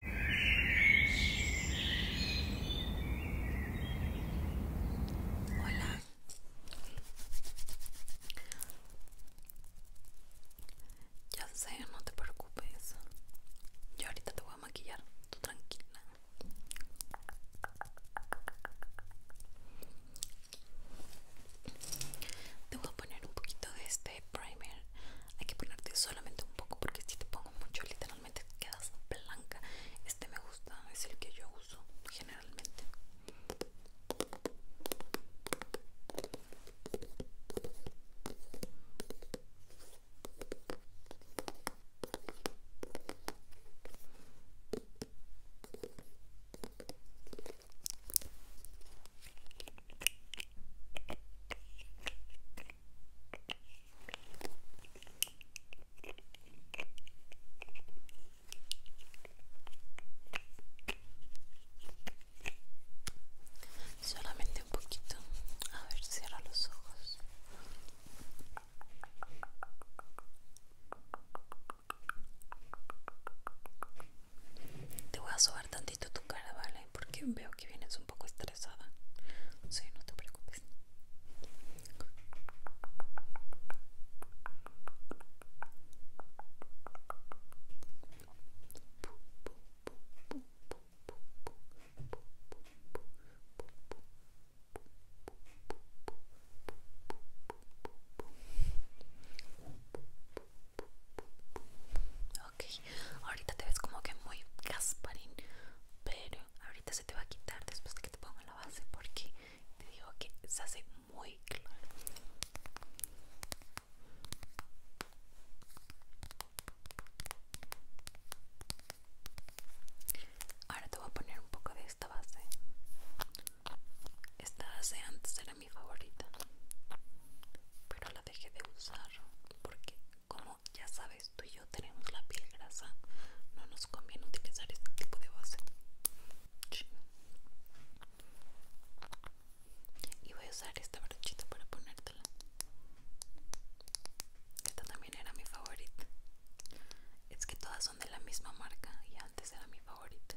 Hola, ya sé, no te preocupes. Yo ahorita te voy a maquillar, tú tranquila. Te voy a poner un poquito de este primer hay que ponerte solamente un poco porque si te pongo mucho literalmente quedas blanca este me gusta es el que yo uso generalmente Solamente un poquito. A ver, cierra los ojos. Te voy a sobar tantito tu cara, ¿vale? Porque veo que vienes un poco estresada. Sí, no te preocupes ok. Ahorita te ves como que muy gasparín, pero ahorita se te va a quitar después de que te ponga la base porque te digo que se hace muy claro. Ahora te voy a poner un poco de esta base. Esta base antes era mi favorita, pero la dejé de usar porque como ya sabes tú y yo tenemos la piel grasa no nos conviene utilizar este tipo de base y voy a usar esta brochita para ponértela esta también era mi favorita es que todas son de la misma marca y antes era mi favorita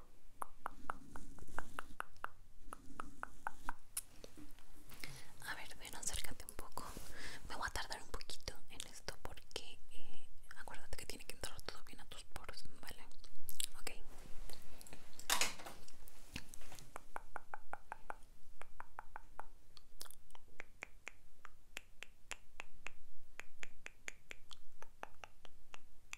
A ver, ven, acércate un poco. Me voy a tardar un poquito en esto porque eh, acuérdate que tiene que entrar todo bien a tus poros, ¿vale? Ok.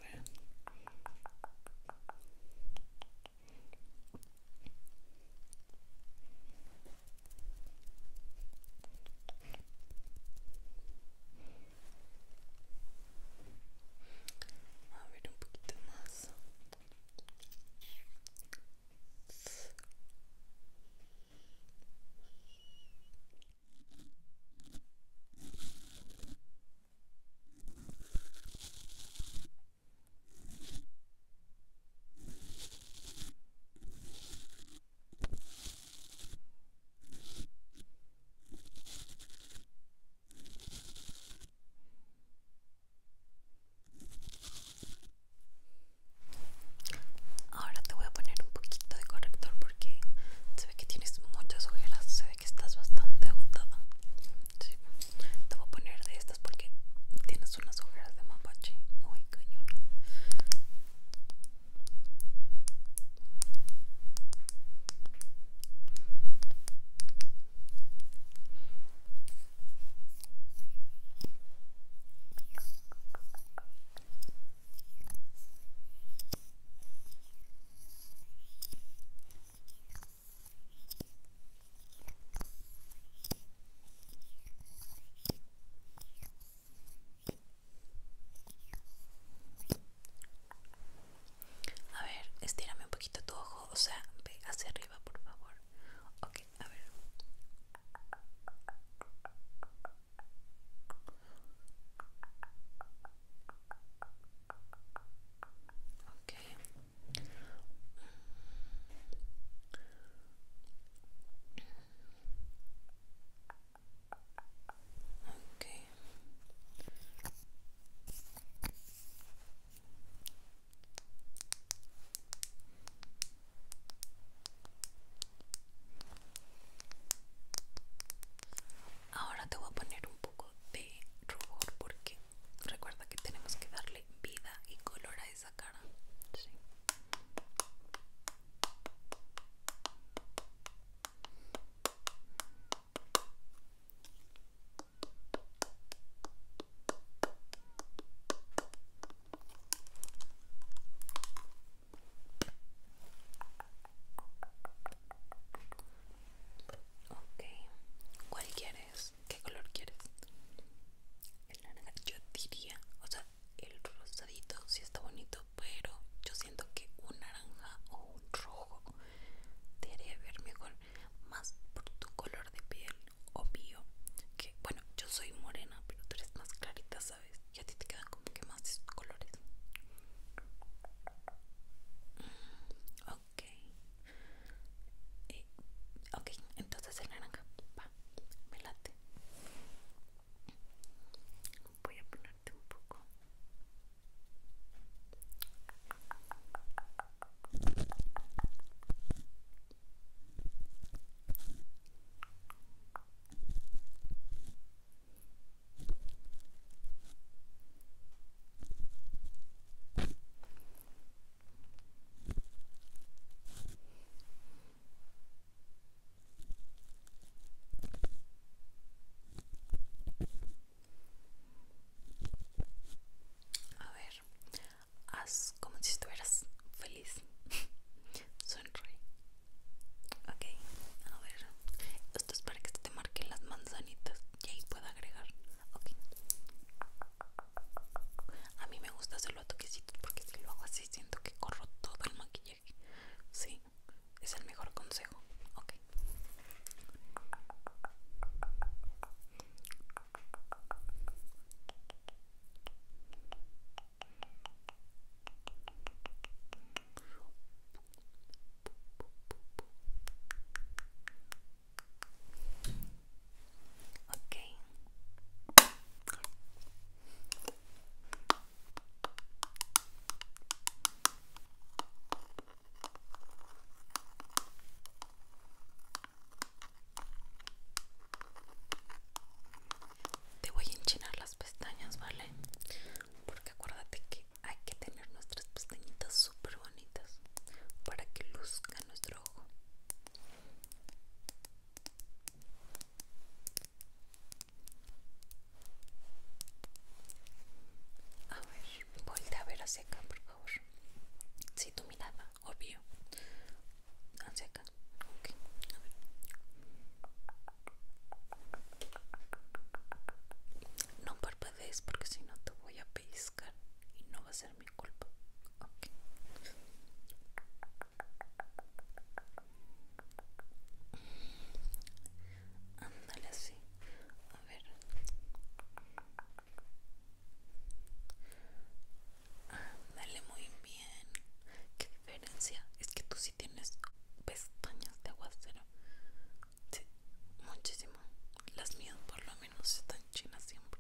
A ver. un poquito más. Ahora te voy a poner un poquito de corrector porque se ve que tienes muchas ojeras, que estás bastante agotada. Sí. Te voy a poner de estas porque tienes unas ojeras de mapache muy cañón. A ver, estírame un poquito tu ojo, o sea, ve hacia arriba, por favor. Ok, a ver. Okay, okay. Ahora te voy a poner un poco de rubor porque Recuerda que tenemos que darle vida y color a esa cara. Ok, ¿cuál quieres? ¿Qué color quieres? El naranja, yo diría, o sea, el rosadito sí está bonito, pero yo siento que un naranja o un rojo te haría ver mejor, más por tu color de piel, obvio. Que bueno, yo soy morena, pero tú eres más clarita, ¿sabes? Ya a ti te quedan como que más colores. Mm, Okay. Eh, entonces el naranja. Va, me late. Voy a ponerte un poco. A ver, haz como si estuvieras feliz. Sonríe. Ok, a ver. Esto es para que se te marquen las manzanitas y ahí puedo agregar ok a mí me gusta hacerlo a toquecitos porque si lo hago así siento que corro todo el maquillaje sí es el mejor consejo ok Okay. Te voy a enchinar las pestañas, ¿vale? Porque acuérdate que hay que tener nuestras pestañitas súper bonitas para que luzca nuestro ojo. A ver, voltea a ver hacia acá, por favor. Si tu mirada, obvio. Hacia acá, ok. A ver. No porque si no te voy a pellizcar y no va a ser mi culpa. Ándale así. A ver. Ándale muy bien. ¿Qué diferencia? Es que tú sí tienes pestañas de aguacero. Sí, muchísimo. Las mías por lo menos están chinas siempre.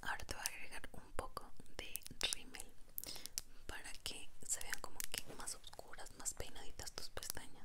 Ahora te voy a agregar un poco de rímel para que se vean como que más oscuras, más peinaditas tus pestañas.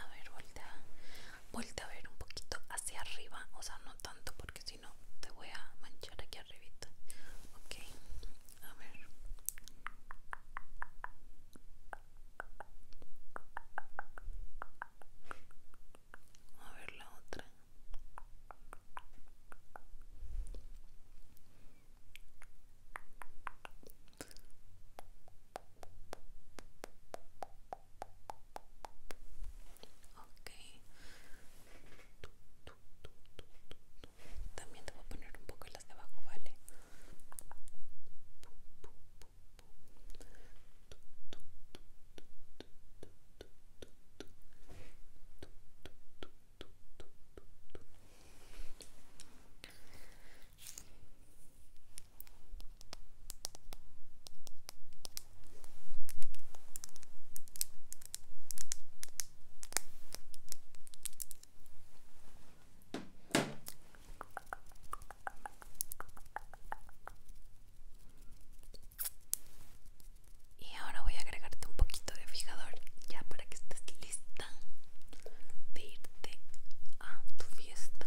A ver, vuelta, vuelta a ver un poquito hacia arriba, o sea, no tanto porque si no te voy a manchar aquí arribita. Ok, a ver. A ver la otra. Ok. También te voy a poner un poco las de abajo, ¿vale? Y ahora voy a agregarte un poquito de fijador ya para que estés lista de irte a tu fiesta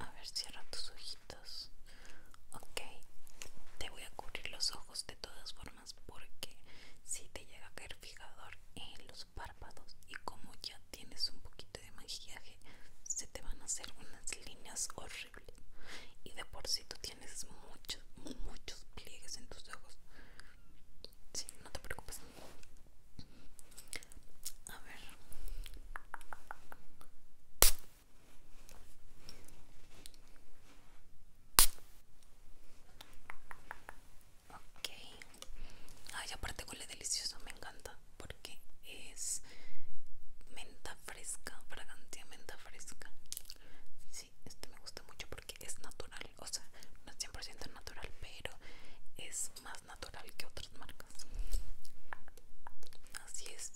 A ver, cierra tus ojitos. Ok, te voy a cubrir los ojos de todas formas porque si te llega a caer fijador en los párpados y como ya tienes un poquito de maquillaje, se te van a hacer unas líneas horribles. Y de por si tú tienes muchos, muchos pliegues en tus ojos. Sí, no te preocupes, a ver. Ok. Ay, aparte huele delicioso, me encanta. Porque es menta fresca, fragancia menta fresca. Sí, este me gusta mucho porque es natural. O sea, no es 100% natural, pero es más natural que otras marcas así es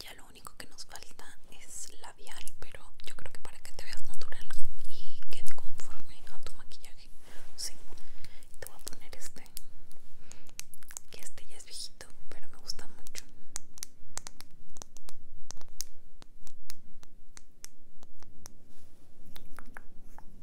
ya lo único que nos falta es labial pero yo creo que para que te veas natural y quede conforme a tu maquillaje te voy a poner este que este ya es viejito pero me gusta mucho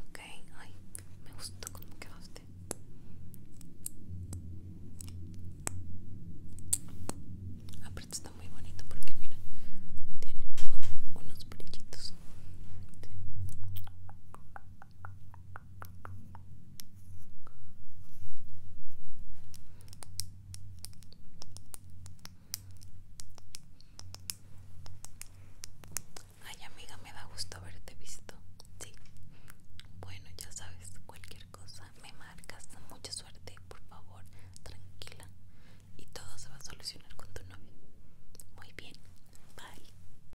Ok, ay, me gustó cómo quedaste. Aparte está muy bonito porque mira, tiene como unos brillitos. Ay amiga, me da gusto haberte visto. Sí. Bueno, ya sabes, cualquier cosa me marcas. Mucha suerte, por favor, tranquila. Y todo se va a solucionar con tu novio. Muy bien. Bye.